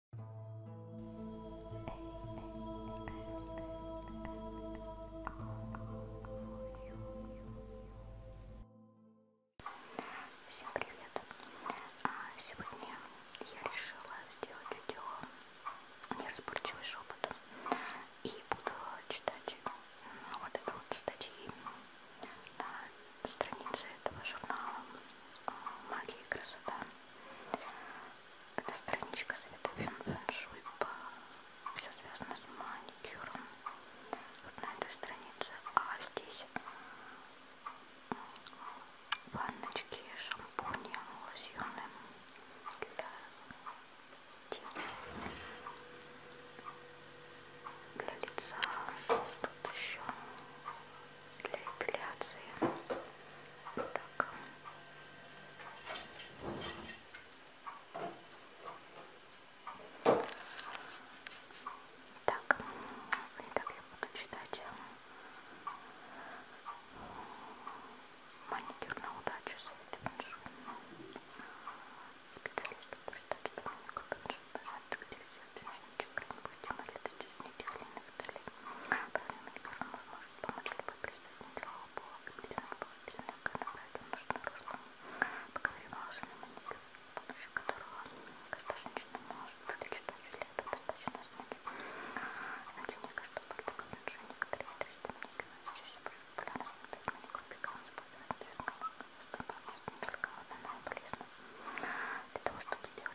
Всем привет! А, сегодня я решила сделать видео неразборчивый шепот и буду читать ну, вот это вот статьи на странице этого журнала «Магия и красота». Эта страничка советует фэн-шуй по... Все связано с маникюром. Вот на этой странице. А здесь ванночки, шампуни, лосьоны для тела, для лица. Тут еще для эпиляции. Так. Так, итак, я буду читать э, маникюр на удачу Светы Паншуна. Специалист по штату, как Паншуна, пожалуйста, где взять чайничек, будем молиться честники, глины, виталий. Правильно, первым возможно помочь любой присутствие, слава Богу, определенный положительный канал, это нужно русло. Поговорим о волшебном манере, с помощью которого каждая женщина может вычитать лето достаточно знаки. Значение каждого кубика меньше некоторые 300 миллиграмм, чаще популярность на 5 миллиграмм, использовать цвет становится не только банально полезным. Для того, чтобы сделать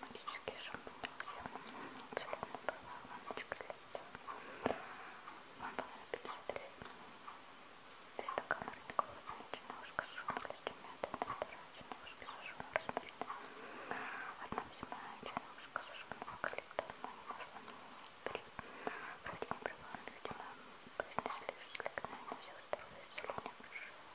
магический шампунь. Абсолютно была мамочка для этого. Он был на 50 лет. Без стакана никакого одна ножка сушеного легкимета, вторая чернушка сушеного розмарина. Одна зимая чернушка сушеного клета, но не можно Вроде не прибавлено, видимо, произнесли, что кликнули на все здоровье, если не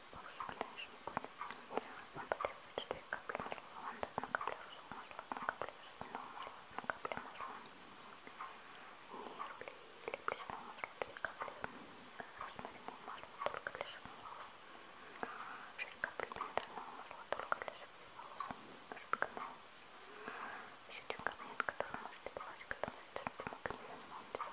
конечно, будет. Вам потребуется 2 капли масла лаванды, 1 капля ржевого масла, 1 капля жестяного масла, 1 капля масла нервли или плесного масла, 2 капли растворимого масла только для шеи волос, 6 капель миндального масла только для шеи волос, жидкого еще один кабинет, который можете добавить, который содержит магнезиум,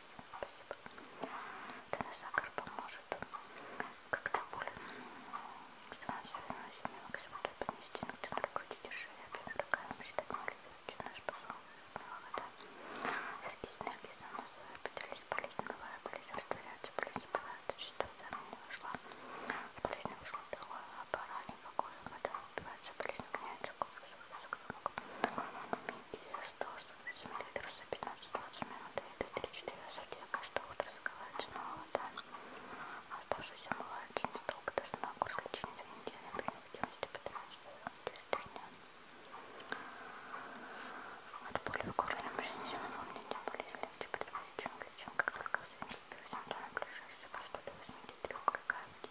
спасибо. Теносакр поможет, когда боль становится выносимой, максимально поднести, но ты накрутите шею, прям такая мечтать малевича, наш посол, вода. Сергей Синергий со мной пытались болезнь, новая болезнь растворяется, болезнь была, это чисто, не вошла. Болезнь вышла, другая, а пора никакой, вода называется плесняется кофе с 100 мл за 15-20 минут и до 3-4 суток, что утро закрывается на вода. Оставшийся молочный строк до сна курс лечения в неделю при необходимости по 13 дня. От боли в горле мужчине помните болезнь легче предварительно лечим, как только в связи с первым симптомом ближайшего 183 круга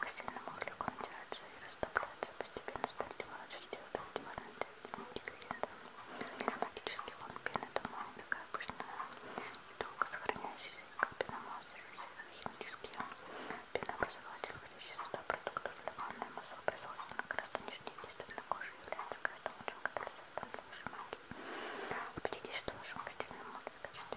Кассельному углеку натираются и растапливаются, постепенно стартивают шестьдесят ингредиентов. Ароматический фон пены дома убегает обычно и долго сохраняющийся как пеномал химические пенообразователи, входящие в состав продуктов для ванной массового производства на гораздо нижней действительно кожи является гораздо лучшим катализатором для вашей магии. Убедитесь, что в вашем постельном модуле в качестве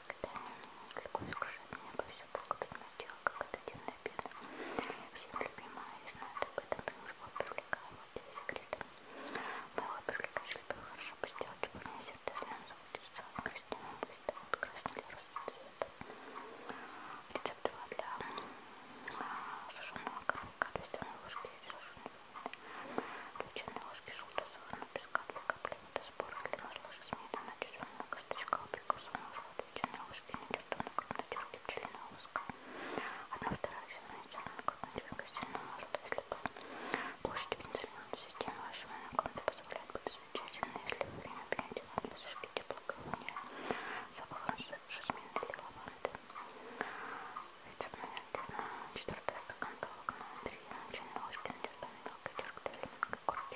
когда легко скажет мне обо всем Бога преднатела, как от дивной обеда. Всем любимая и знает об этом, потому что он привлекал его для секрета. Мы его привлекали, было хорошо постелки, парни сердечно зовут из а целого крестяна, быстро вот красный расцвет. Рецепт 2 для а, сушеного коровка, листяной ложки и сушеной ложки. Лученые ложки желтого сахарного песка для капли предметы спора для нас ложа сметана, тюремная косточка, абрикоса, масло, ветчина, ложки, нечертанная крупнотюрки, пчелиная лоска. Одна вторая зеленая зерна, крупнотюрка, сильное масло, если бы площадь пенсильная система вашего наконца позволяет быть замечательно, если вы время пьете вам без ушки теплоколония, запахом жасмина или лаванды. Рецепт номер 4 стакан толокна, 3 чайные ложки, натертая мелкая терка, корки.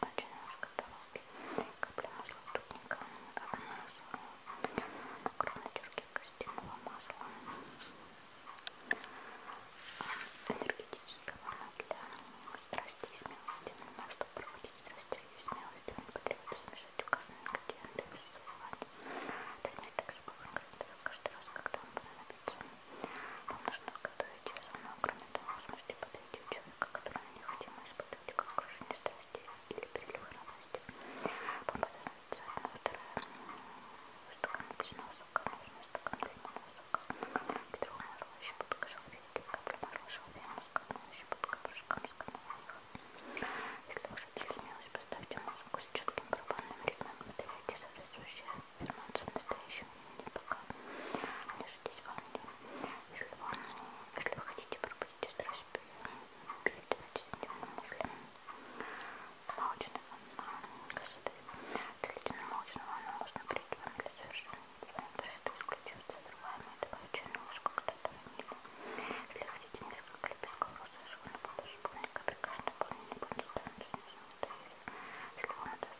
очень немножко дороги. Капля масла тупника, арноза, огромной тюрки костяного масла, энергетического для страсти и смелости. Ну, на что проводить страсти и смелости, он потребует смешать указанные ингредиенты и сувать. Это смесь также бывает каждый раз, когда он понадобится. Вам нужно готовить ведь все равно, кроме того, вы сможете подойти у человека, которому необходимо испытать как крушение страсти или прилив радости. Попадается одна вторая стакан обычного сока, можно стакан лимонного сока, петрого масла, щепотка шалфейки, капля масла шалфейного сока, щепотка порошка мускатного меха. Если вы хотите смелость, поставьте музыку с четким барабанным ритмом, выдавайте соответствующие ферменты в настоящем времени, пока не ждите волнения. Если вы, если вы хотите пробудить страсть передавайте дневным мыслям молочного красоты. Длительно молочного оно можно прийти вам для совершенно красоты исключается другая методовая чернушка, когда-то ванили. Ну, если хотите несколько лепестков розового школьного подушку, наверняка прекрасно помнили консультанцию. Если вам это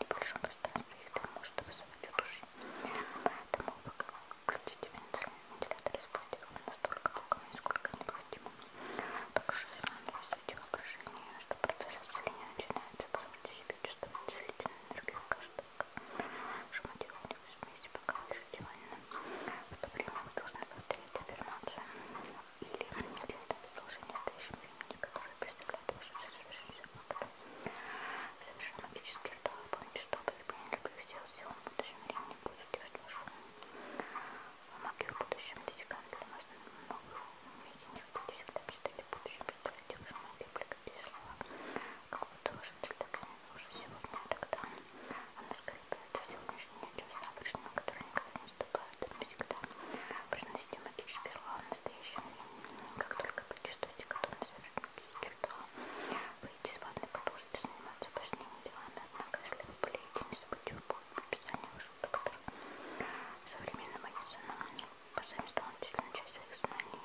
небольшом пространстве их дому, чтобы свою души. Поэтому включите вентилятор и спустите его настолько луками, сколько необходимо. Также развивайте воображение, что процесс исцеления начинается, позвольте себе чувствовать целительную энергию каждого. Шумотехнику смеси пока лишь В то время вы должны повторить аффирмацию или следовать продолжение следующем времени, которое представляет вашу жизнь факта. Совершенно магический ритуал. Помните, что вы не любых сил, сил в будущем времени будет делать вашу а магию в будущем десикант для нас много видений. Вы всегда мечтали в будущем представлять вашу магию, пригодите слова какого-то вашего следования уже сегодня, тогда она скорее будет сегодняшнее, чем завтрашнее, которое никогда не ступает тут всегда приносите магический ритуал настоящий. Как только почувствуете готовность магический ритуал, выйдите из ванной, продолжите заниматься важными делами. Однако, если вы болеете, не забудьте выполнить описание вашего доктора. Современная медицина позволит дополнительную часть своих знаний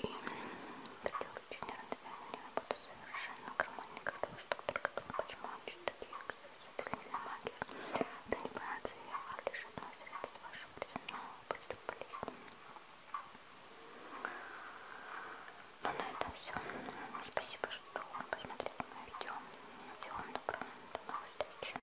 и сделать нервное состояние работу совершенно гармонии, когда ваш доктор готов, почему он читает лекции это не на магию. Это не понадобится, а лишь одно средство вашего признанного после болезни. Ну, на этом все. Спасибо, что посмотрели мое видео. Всего вам доброго. До новых встреч.